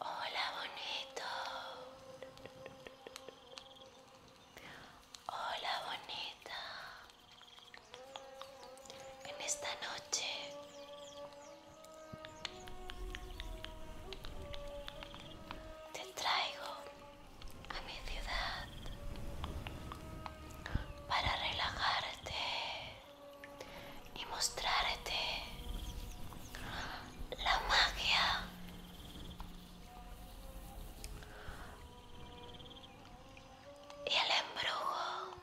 Hola bonito. Hola bonita. En esta noche te traigo a mi ciudad para relajarte y mostrarte la magia y el embrujo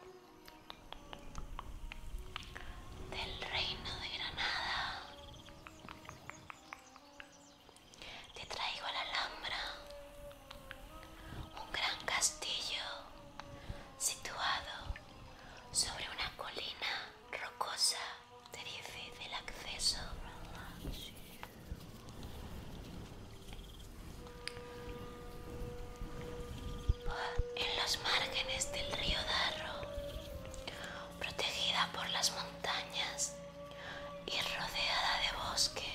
del reino de Granada. Te traigo a la Alhambra, un gran castillo situado sobre una colina rocosa. Te difícil acceso. En los márgenes del río Darro, protegida por las montañas y rodeada de bosque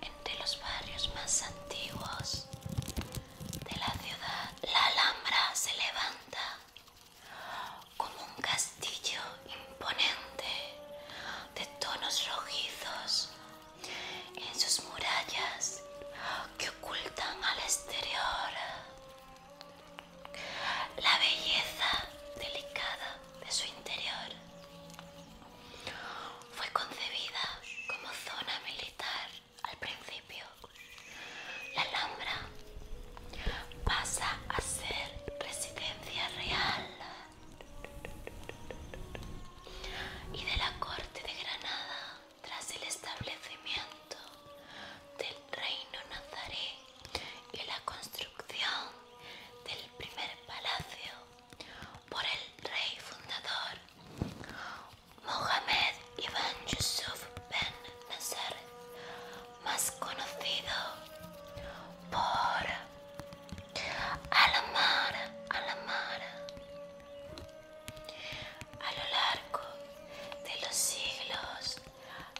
entre los barrios más antiguos de la ciudad. La Alhambra se levanta como un castillo imponente de tonos rojizos en sus murallas que ocultan al exterior la belleza delicada de su interior. Fue concebida como zona militar al principio. La Alhambra pasa a ser residencia real y de la corte de Granada tras el establecimiento del reino nazaré y la construcción del primer palacio por el rey fundador Mohamed Ibn Yusuf Ben Nasser, más conocido por Alamara, Alamara, A lo largo de los siglos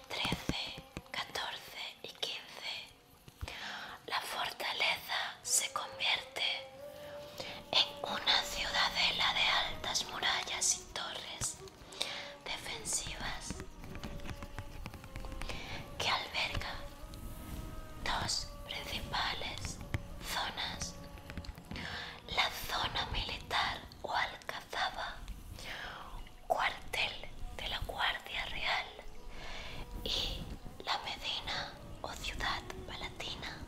XIII, XIV y XV la fortaleza se convierte en una ciudadela de altas murallas y torres defensivas que alberga dos principales zonas, la zona militar o alcazaba cuartel de la Guardia Real y la Medina o Ciudad Palatina,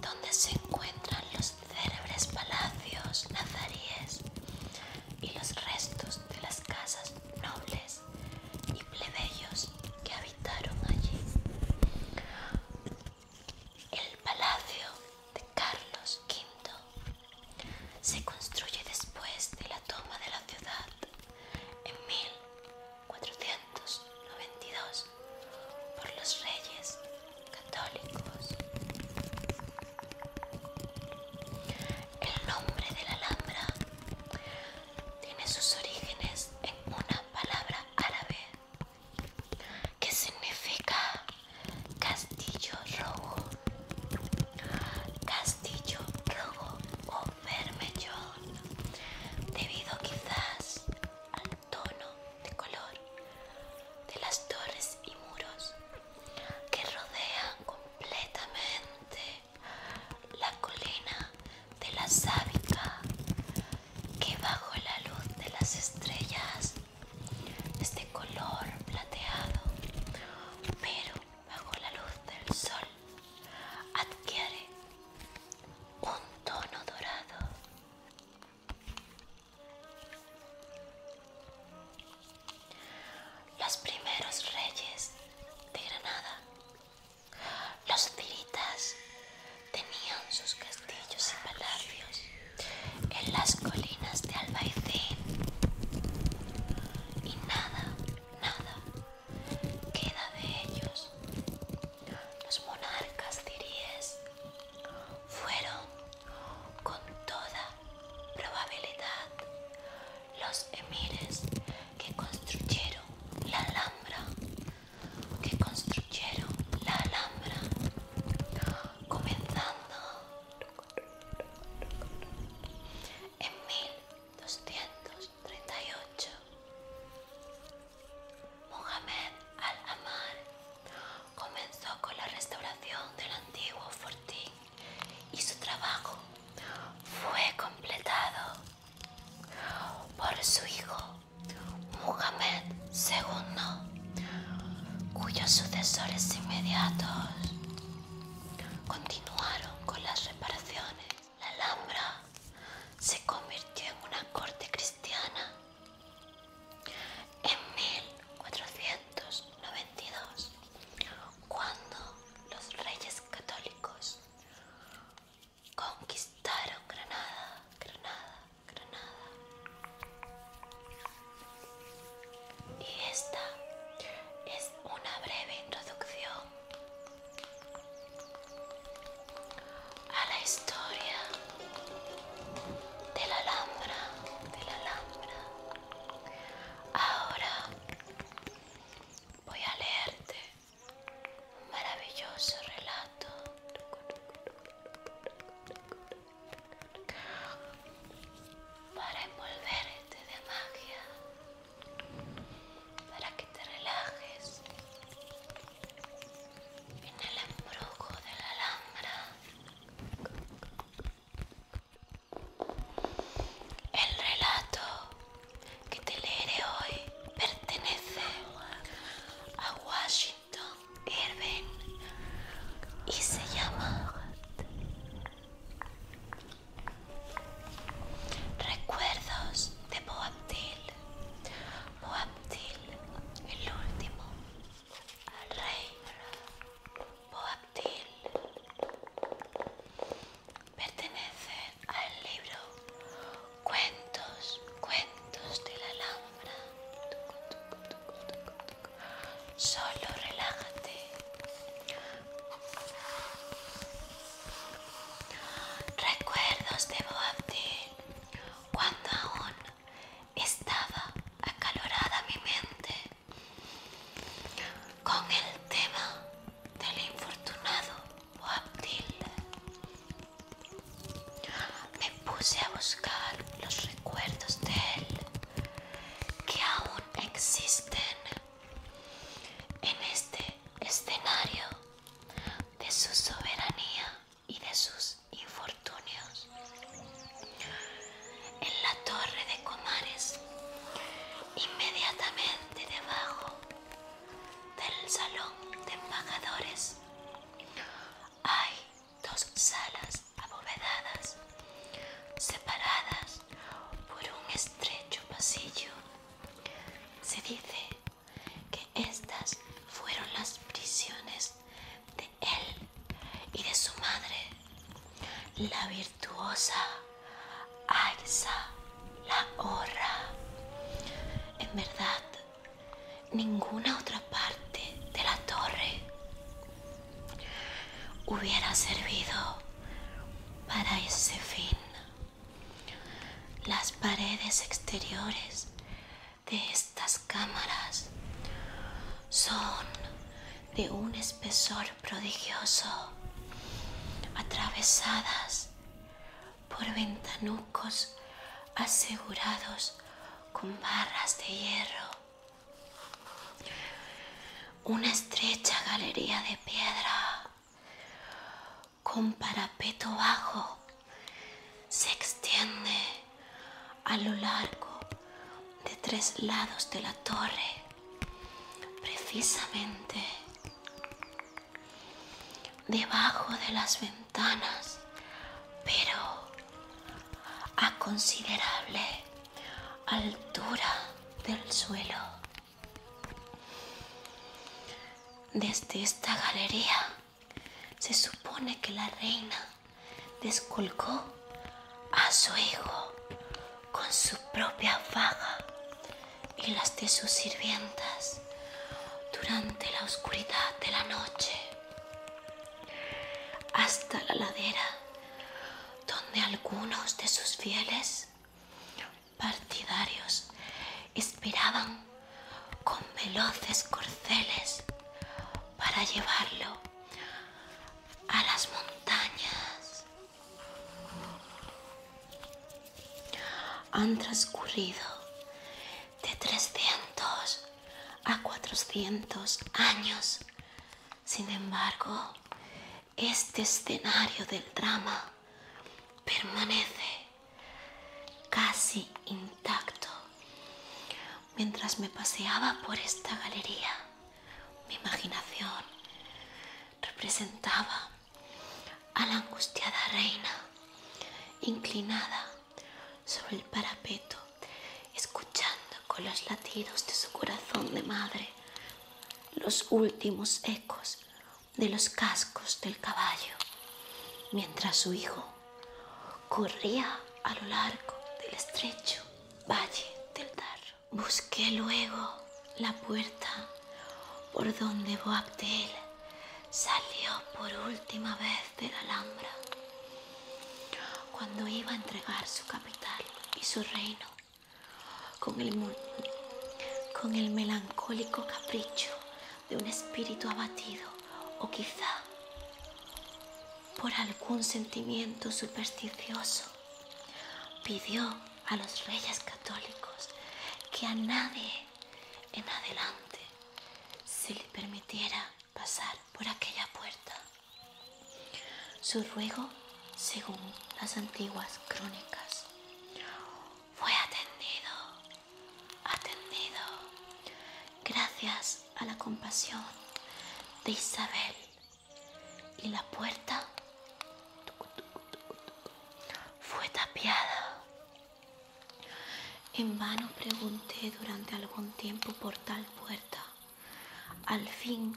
donde se encuentran los célebres palacios nazaríes y los restos de las casas nobles y plebeyos que habitaron allí. El palacio de Carlos V se construye después de la toma de la ciudad en 1492 por los reyes católicos. El nombre de la Alhambra tiene sus orígenes en una palabra árabe que significa Castillo rojo, castillo rojo o vermellón, debido quizás al tono de color de las torres y muros que rodean completamente la colina de la Sábica, que bajo la luz de las estrellas es de este color plateado, pero bajo la luz del sol adquiere un tono dorado. Los primeros reyes de Granada, los filitas, tenían sus castillos y palacios en las colinas de Albaicín y nada, nada queda de ellos. Los monarcas tiríes fueron con toda probabilidad los emires que construyeron la Alhambra, que construyeron la Alhambra, comenzando en 1238 Mohamed al-Amar comenzó con la restauración del antiguo fortín y su trabajo fue completado por su hijo Mohamed II, cuyos sucesores inmediatos continuaron con las reparaciones. La Alhambra se convirtió en una corte cristiana en 1492, cuando los reyes católicos conquistaron Granada, Granada, Granada. Y esta es una breve introducción a la historia de la Alhambra, Ahora voy a leerte un maravilloso relato para envolverte de magia, para que te relajes en el embrujo de la alhambra. El relato que te leeré hoy pertenece a Washington Irving y se llama Recuerdos de Boabdil. Boabdil, el último, rey. Boabdil pertenece al libro Cuentos, Cuentos de la Alhambra. Solo relájate. Recuerdos de Boabdil cuando aún estaba acalorada mi mente con el tema del infortunado Boabdil. Me puse a buscar los recuerdos de él que aún existen en este escenario de su soberanía y de sus infortunios. En la torre de Comares, inmediatamente debajo del salón de embajadores, hay dos salas abovedadas separadas por un estrecho pasillo. Se dice que estas fueron las prisiones de él y de su madre, la virtuosa Aixa la Horra. En verdad, ninguna otra parte de la torre hubiera servido para ese fin. Las paredes exteriores de estas cámaras son de un espesor prodigioso, atravesadas por ventanucos asegurados con barras de hierro una estrecha galería de piedra con parapeto bajo se extiende a lo largo de tres lados de la torre. Precisamente debajo de las ventanas, pero a considerable altura del suelo. Desde esta galería se supone que la reina descolgó a su hijo con su propia faga y las de sus sirvientas durante la oscuridad de la noche hasta la ladera donde algunos de sus fieles partidarios esperaban con veloces corceles para llevarlo a las montañas. Han transcurrido de 300 a 400 años. Sin embargo, este escenario del drama permanece casi intacto. Mientras me paseaba por esta galería, mi imaginación representaba a la angustiada reina inclinada sobre el parapeto, escuchando con los latidos de su corazón de madre los últimos ecos de los cascos del caballo, mientras su hijo corría a lo largo del estrecho valle del tarro Busqué luego la puerta por donde Boabdel salió por última vez de la Alhambra cuando iba a entregar su capital y su reino con el, melancólico capricho de un espíritu abatido o quizá por algún sentimiento supersticioso, pidió a los reyes católicos que a nadie en adelante se le permitiera pasar por aquella puerta. Su ruego según las antiguas crónicas. Fue atendido, atendido, gracias a la compasión de Isabel. Y la puerta fue tapiada. En vano pregunté durante algún tiempo por tal puerta. Al fin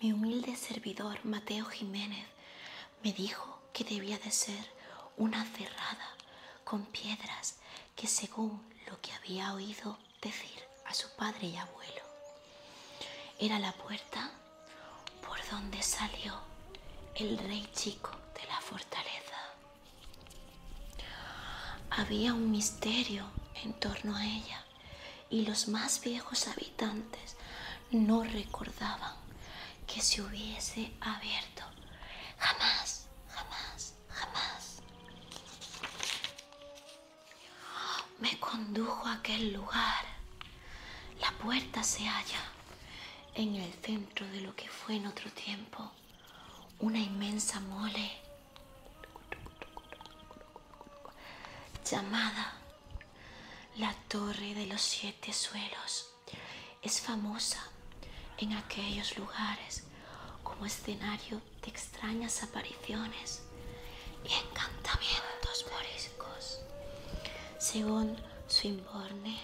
mi humilde servidor Mateo Jiménez me dijo que debía de ser una cerrada con piedras que según lo que había oído decir a su padre y abuelo, era la puerta por donde salió el rey chico de la fortaleza. Había un misterio en torno a ella y los más viejos habitantes no recordaban que se hubiese abierto. Jamás, jamás, jamás. Me condujo a aquel lugar. La puerta se halla en el centro de lo que fue en otro tiempo una inmensa mole llamada la torre de los siete suelos es famosa en aquellos lugares como escenario de extrañas apariciones y encantamientos moriscos. Según Swinburne,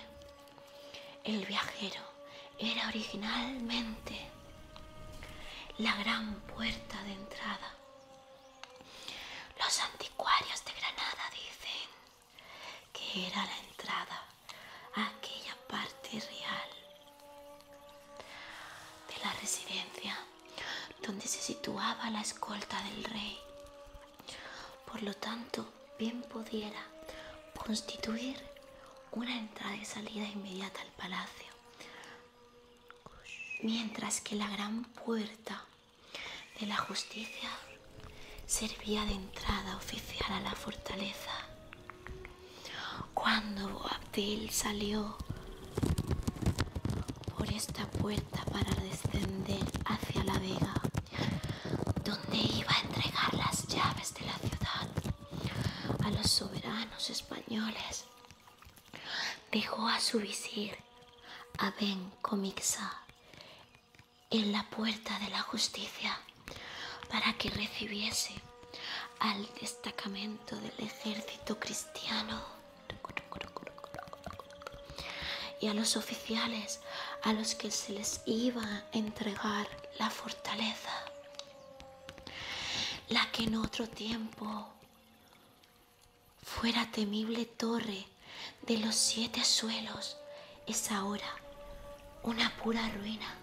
el viajero era originalmente la gran puerta de entrada los anticuarios de Granada dicen que era la entrada a aquella parte real de la residencia donde se situaba la escolta del rey. Por lo tanto, bien pudiera constituir una entrada y salida inmediata al palacio, mientras que la gran puerta de la justicia servía de entrada oficial a la fortaleza. Cuando Boabdil salió por esta puerta para descender hacia la vega, donde iba a entregar las llaves de la ciudad a los soberanos españoles, Dejó a su visir, a Ben Comixa, en la puerta de la justicia para que recibiese al destacamento del ejército cristiano y a los oficiales a los que se les iba a entregar la fortaleza, la que en otro tiempo Fuera temible torre de los siete suelos, es ahora una pura ruina,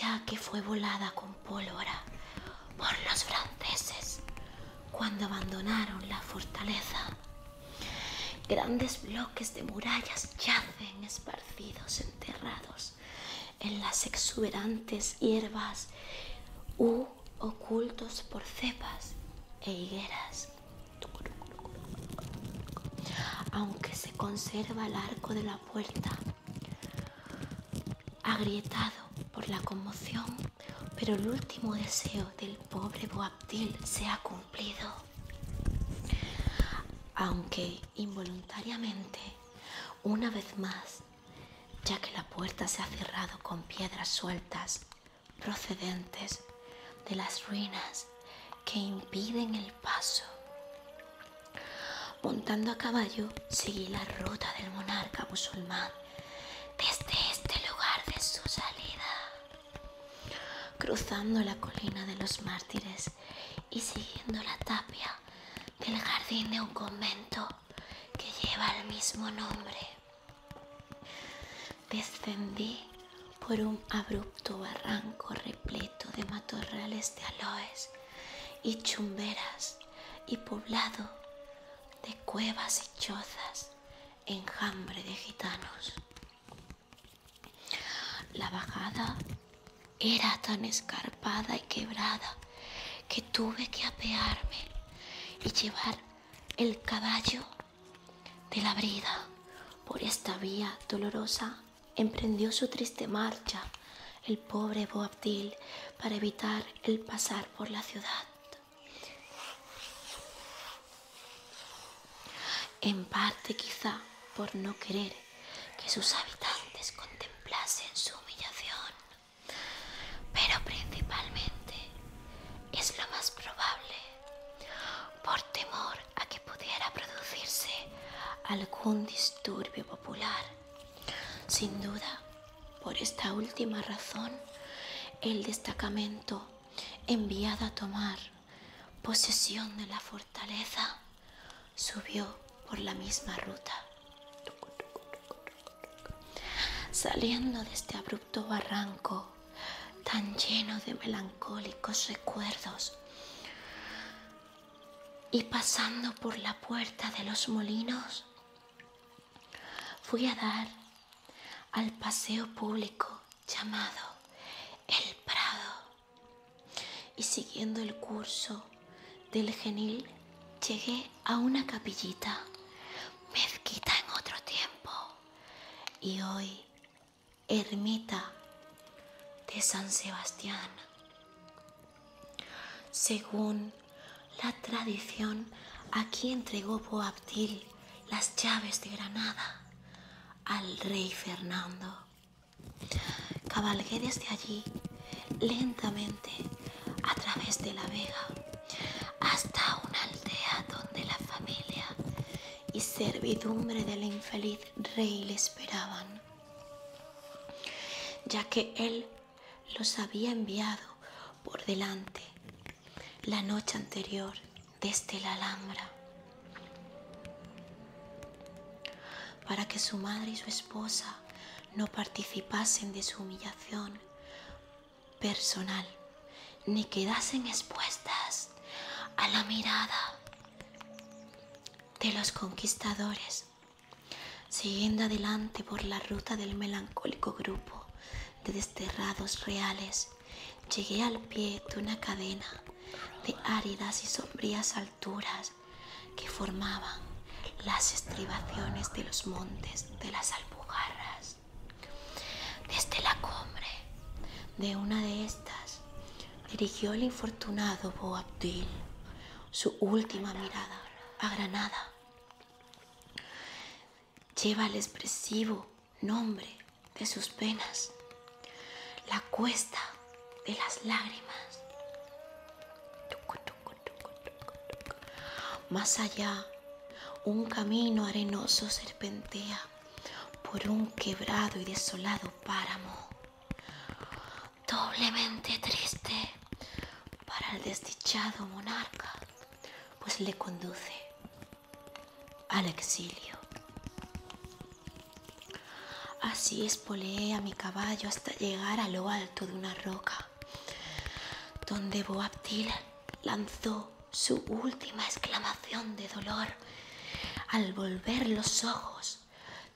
ya que fue volada con pólvora por los franceses cuando abandonaron la fortaleza. Grandes bloques de murallas yacen esparcidos, enterrados en las exuberantes hierbas ocultos por cepas e higueras. Aunque se conserva el arco de la puerta, agrietado por la conmoción, pero el último deseo del pobre Boabdil se ha cumplido. Aunque involuntariamente, una vez más, ya que la puerta se ha cerrado con piedras sueltas procedentes de las ruinas que impiden el paso. Montando a caballo, seguí la ruta del monarca musulmán desde este lugar de su salida, cruzando la colina de los mártires y siguiendo la tapia del jardín de un convento que lleva el mismo nombre. Descendí por un abrupto barranco repleto de matorrales de aloes y chumberas y poblado de cuevas y chozas, enjambre de gitanos. La bajada era tan escarpada y quebrada que tuve que apearme y llevar el caballo de la brida. Por esta vía dolorosa emprendió su triste marcha el pobre Boabdil para evitar el pasar por la ciudad. En parte quizá por no querer que sus habitantes contemplasen su humillación, pero principalmente es lo más probable, por temor a que pudiera producirse algún disturbio popular. Sin duda, por esta última razón, el destacamento enviado a tomar posesión de la fortaleza subió por la misma ruta. Saliendo de este abrupto barranco, tan lleno de melancólicos recuerdos. Y pasando por la puerta de los molinos, fui a dar al paseo público llamado El Prado. Y siguiendo el curso del genil, llegué a una capillita, mezquita en otro tiempo. Y hoy, ermita de San Sebastián. Según la tradición, aquí entregó Boabdil las llaves de Granada al rey Fernando. Cabalgué desde allí lentamente a través de la vega hasta una aldea donde la familia y servidumbre del infeliz rey le esperaban, ya que él los había enviado por delante la noche anterior desde la Alhambra para que su madre y su esposa no participasen de su humillación personal ni quedasen expuestas a la mirada de los conquistadores, siguiendo adelante por la ruta del melancólico grupo de desterrados reales, llegué al pie de una cadena de áridas y sombrías alturas que formaban las estribaciones de los montes de las Alpujarras. Desde la cumbre de una de estas dirigió el infortunado Boabdil su última mirada a Granada. Lleva el expresivo nombre de sus penas, la cuesta de las lágrimas. Más allá, un camino arenoso serpentea por un quebrado y desolado páramo, doblemente triste para el desdichado monarca, pues le conduce al exilio. Así espoleé a mi caballo hasta llegar a lo alto de una roca, donde Boabdil lanzó su última exclamación de dolor al volver los ojos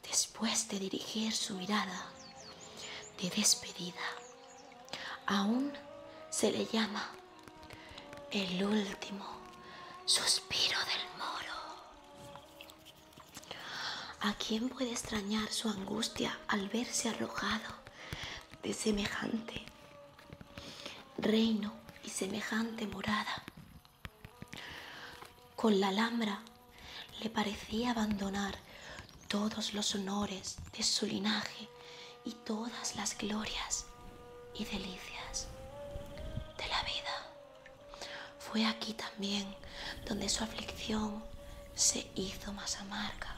después de dirigir su mirada de despedida. Aún se le llama el último suspiro del moro. ¿A quién puede extrañar su angustia al verse arrojado de semejante reino y semejante morada. Con la Alhambra le parecía abandonar todos los honores de su linaje y todas las glorias y delicias de la vida. Fue aquí también donde su aflicción se hizo más amarga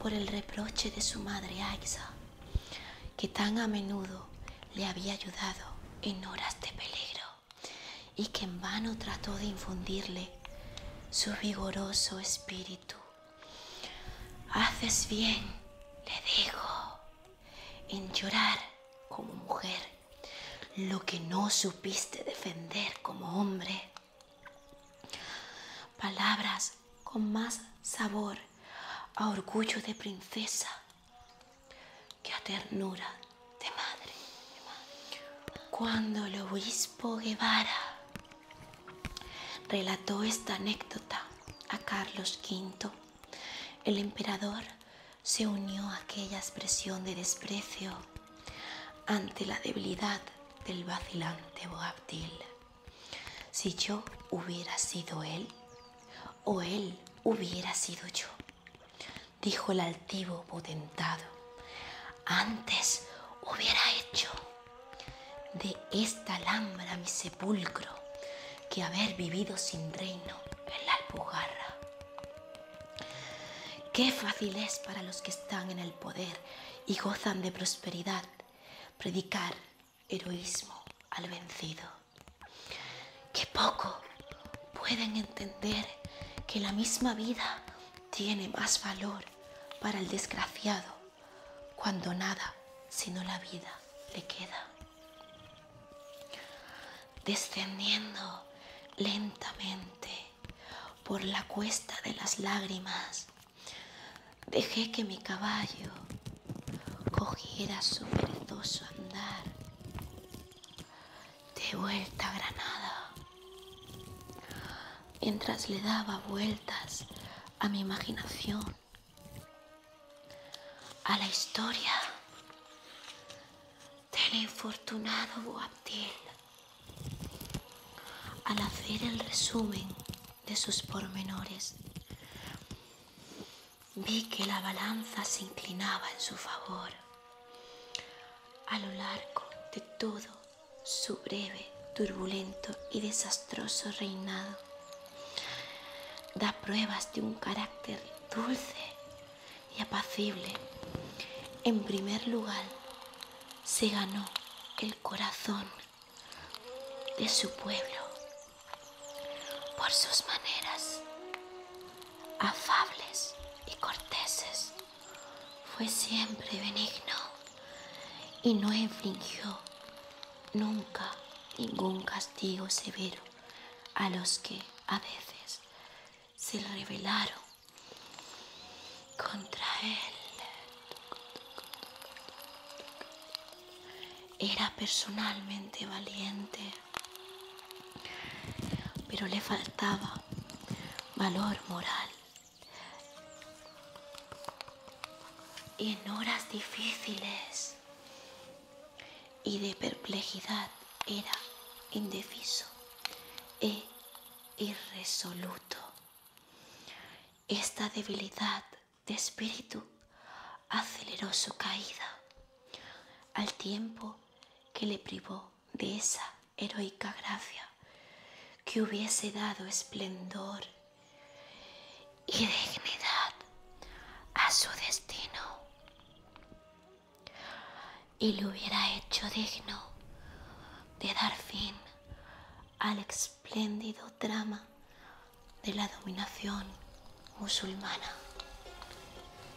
por el reproche de su madre Aixa que tan a menudo le había ayudado en horas de peligro y que en vano trató de infundirle su vigoroso espíritu. Haces bien, le dijo, en llorar como mujer lo que no supiste defender como hombre. Palabras con más sabor a orgullo de princesa que a ternura de madre. Cuando el obispo Guevara relató esta anécdota a Carlos V, el emperador se unió a aquella expresión de desprecio ante la debilidad del vacilante Boabdil. Si yo hubiera sido él, o él hubiera sido yo, dijo el altivo potentado, antes hubiera hecho de esta alhambra mi sepulcro que haber vivido sin reino en la alpujarra. Qué fácil es para los que están en el poder y gozan de prosperidad predicar heroísmo al vencido. Que poco pueden entender que la misma vida tiene más valor para el desgraciado cuando nada sino la vida le queda. Descendiendo lentamente por la cuesta de las lágrimas, Dejé que mi caballo cogiera su perezoso andar. De vuelta a Granada. Mientras le daba vueltas a mi imaginación, a la historia del infortunado Boabdil. Al hacer el resumen de sus pormenores, vi que la balanza se inclinaba en su favor. A lo largo de todo su breve, turbulento y desastroso reinado, da pruebas de un carácter dulce y apacible. En primer lugar, se ganó el corazón de su pueblo por sus maneras afables y corteses. Fue siempre benigno y no infringió nunca ningún castigo severo a los que a veces se rebelaron contra él. Era personalmente valiente, pero le faltaba valor moral. Y en horas difíciles y de perplejidad era indeciso e irresoluto. Esta debilidad de espíritu aceleró su caída al tiempo que le privó de esa heroica gracia que hubiese dado esplendor y dignidad a su destino y lo hubiera hecho digno de dar fin al espléndido drama de la dominación musulmana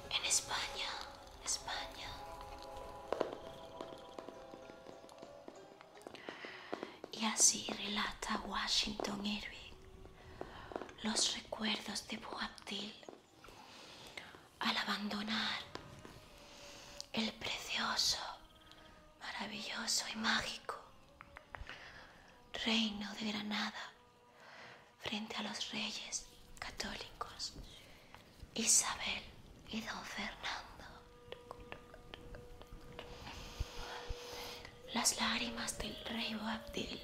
en España, España. Y así relata Washington Irving los recuerdos de Boabdil al abandonar el precioso, maravilloso y mágico reino de Granada frente a los reyes católicos Isabel y don Fernando. Las lágrimas del rey Boabdil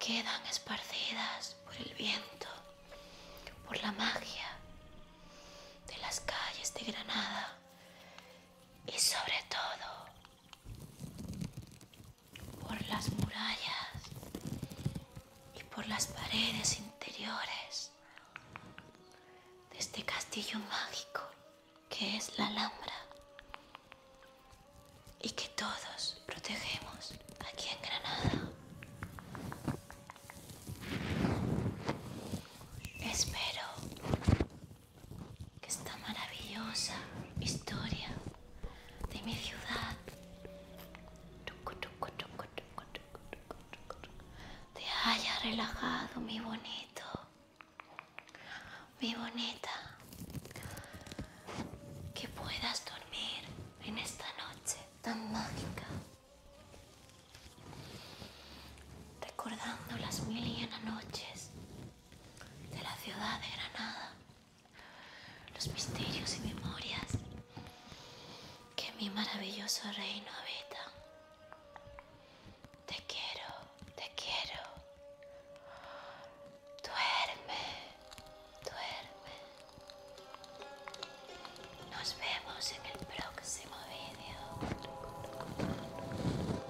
quedan esparcidas por el viento, por la magia de las calles de Granada y sobre todo por las murallas y por las paredes interiores de este castillo mágico que es la Alhambra y que todos protegemos aquí en Granada. Espero que esta maravillosa historia de mi ciudad te haya relajado, mi bonito, mi bonita, que puedas dormir en esta noche tan mágica, recordando las mil y una noches de la ciudad de Granada, los misterios y memorias que mi maravilloso reino habita. Te quiero, te quiero. Duerme, duerme. Nos vemos en el próximo vídeo.